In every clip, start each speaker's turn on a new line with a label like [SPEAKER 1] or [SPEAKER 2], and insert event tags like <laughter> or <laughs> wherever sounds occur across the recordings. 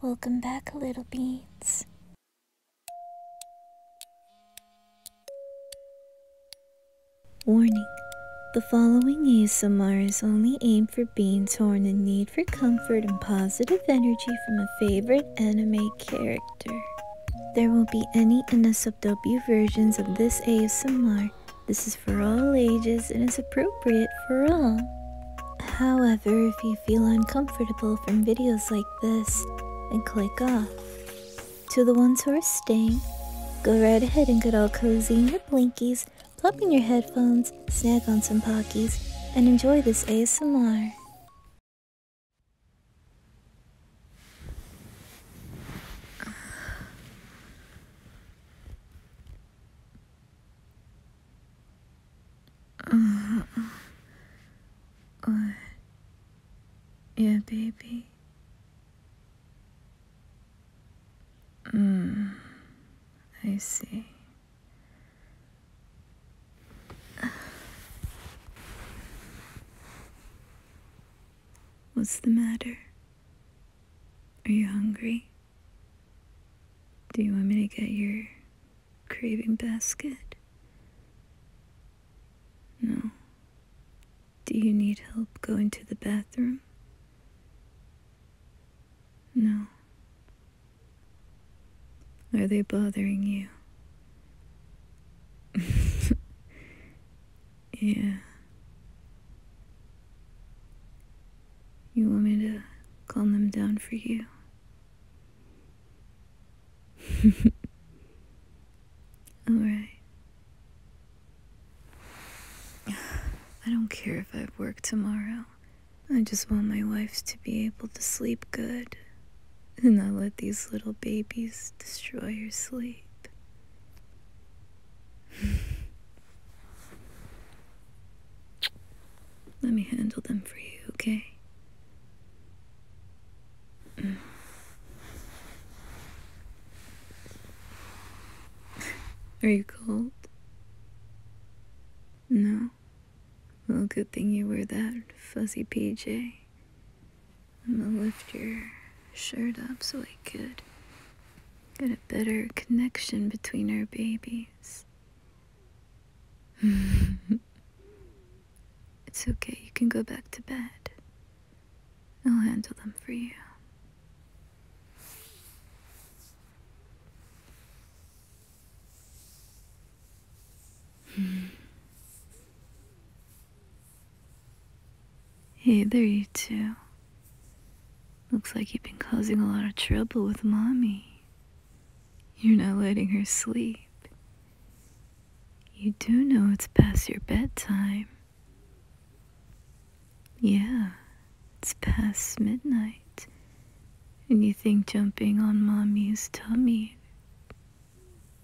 [SPEAKER 1] Welcome back, little beans. Warning. The following ASMR is only aimed for beans torn are in need for comfort and positive energy from a favorite anime character. There will be any NSFW versions of this ASMR this is for all ages and is appropriate for all. However, if you feel uncomfortable from videos like this, then click off. To the ones who are staying, go right ahead and get all cozy in your blinkies, plop in your headphones, snag on some pockies, and enjoy this ASMR yeah, baby. Mm, I see. What's the matter? Are you hungry? Do you want me to get your craving basket? No. Do you need help going to the bathroom? No. Are they bothering you? <laughs> Yeah. You want me to calm them down for you? <laughs> Alright. I don't care if I work tomorrow. I just want my wife to be able to sleep good and not let these little babies destroy her sleep. <sighs> Let me handle them for you, okay? Mm. Are you cold? No. Well, good thing you wear that fuzzy PJ. I'm gonna lift your shirt up so I could get a better connection between our babies. <laughs> it's okay, you can go back to bed. I'll handle them for you. Hey there, you two. Looks like you've been causing a lot of trouble with Mommy. You're not letting her sleep. You do know it's past your bedtime. Yeah, it's past midnight. And you think jumping on Mommy's tummy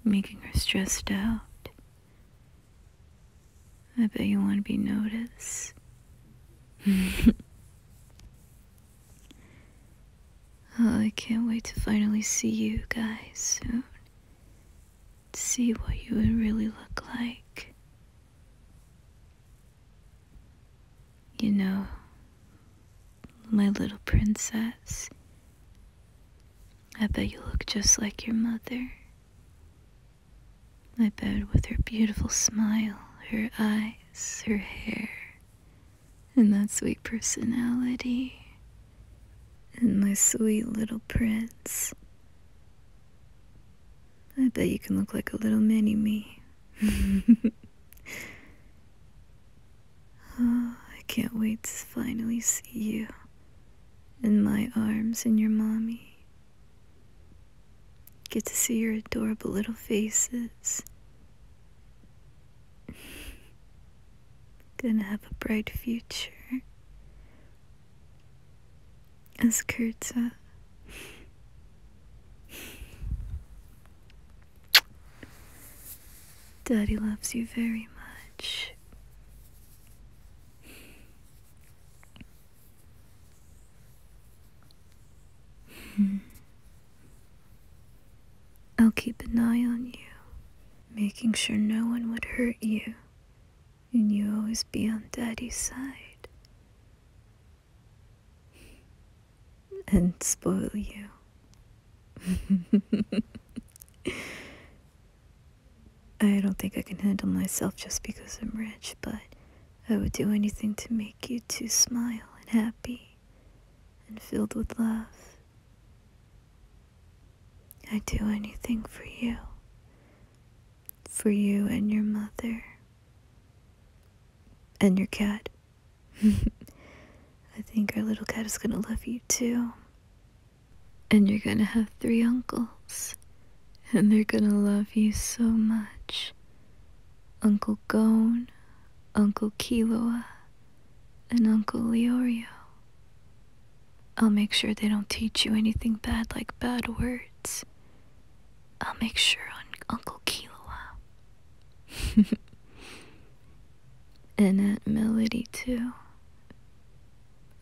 [SPEAKER 1] making her stressed out. I bet you want to be noticed. <laughs> Oh, I can't wait to finally see you guys soon. see what you would really look like. You know, my little princess. I bet you look just like your mother. I bet with her beautiful smile, her eyes, her hair, and that sweet personality, and my sweet little prince. I bet you can look like a little mini me. <laughs> <gasps> I can't wait to finally see you in my arms and your mommy. Get to see your adorable little faces. <laughs> Gonna have a bright future. As Kurtza. <laughs> Daddy loves you very much. Hmm. I'll keep an eye on you, making sure no one would hurt you, and you always be on Daddy's side and spoil you. I don't think I can handle myself just because I'm rich, but I would do anything to make you two smile and happy and filled with love. I'd do anything for you, for you and your mother, and your cat. <laughs> I think our little cat is gonna love you too. And you're gonna have three uncles. And they're gonna love you so much. Uncle Gone, Uncle Kiloa, and Uncle Leorio. I'll make sure they don't teach you anything bad like bad words. I'll make sure on Uncle Kiloa. <laughs> and Aunt Melody, too.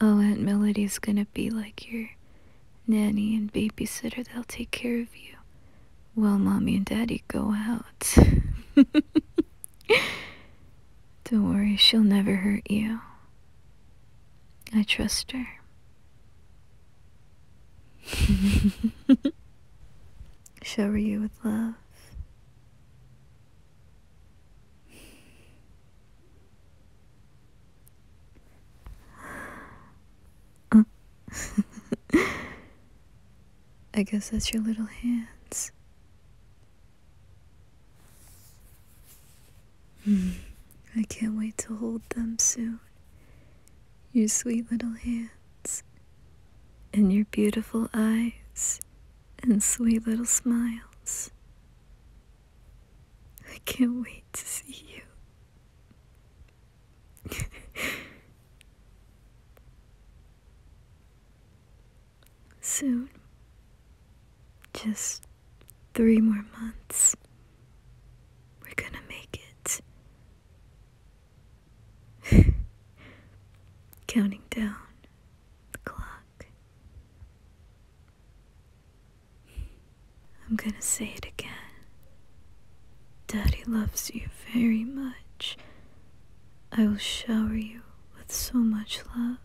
[SPEAKER 1] Oh, Aunt Melody's gonna be like your nanny and babysitter they will take care of you while mommy and daddy go out. <laughs> Don't worry, she'll never hurt you. I trust her. <laughs> Shower you with love. Uh. <laughs> I guess that's your little hands. Hmm. I can't wait to hold them soon your sweet little hands, and your beautiful eyes, and sweet little smiles. I can't wait to see you. <laughs> Soon. Just three more months. We're gonna make it. <laughs> Counting down the clock. I'm gonna say it again. Daddy loves you very much. I will shower you with so much love,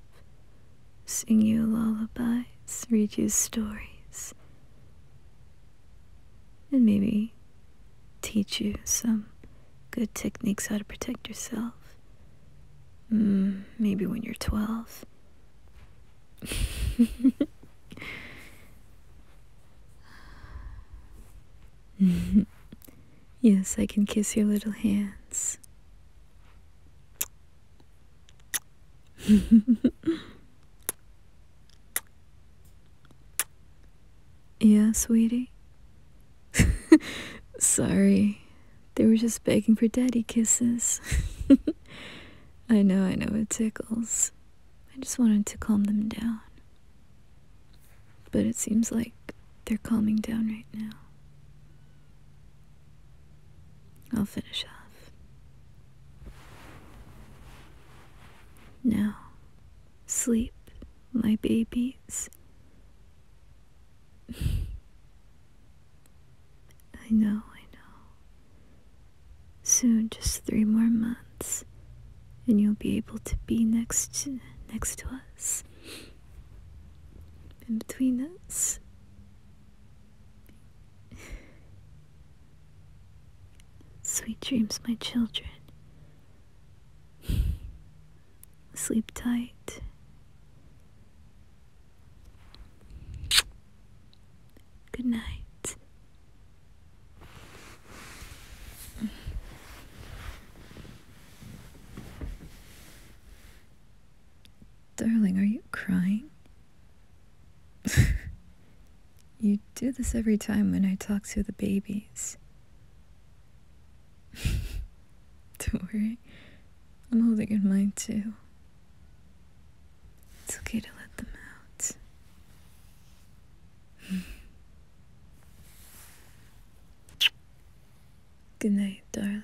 [SPEAKER 1] sing you lullabies, read you stories and maybe teach you some good techniques how to protect yourself. Mm, maybe when you're 12. <laughs> yes, I can kiss your little hands. <laughs> yeah, sweetie. <laughs> Sorry. They were just begging for daddy kisses. <laughs> I know, I know, it tickles. I just wanted to calm them down. But it seems like they're calming down right now. I'll finish off. Now, sleep, my babies. <laughs> I know, I know. Soon, just three more months, and you'll be able to be next to, next to us. in between us, Sweet dreams, my children. Sleep tight. Good night. Darling, are you crying? <laughs> you do this every time when I talk to the babies. <laughs> Don't worry, I'm holding in mine too. It's okay to let them out. <sighs> Good night, darling.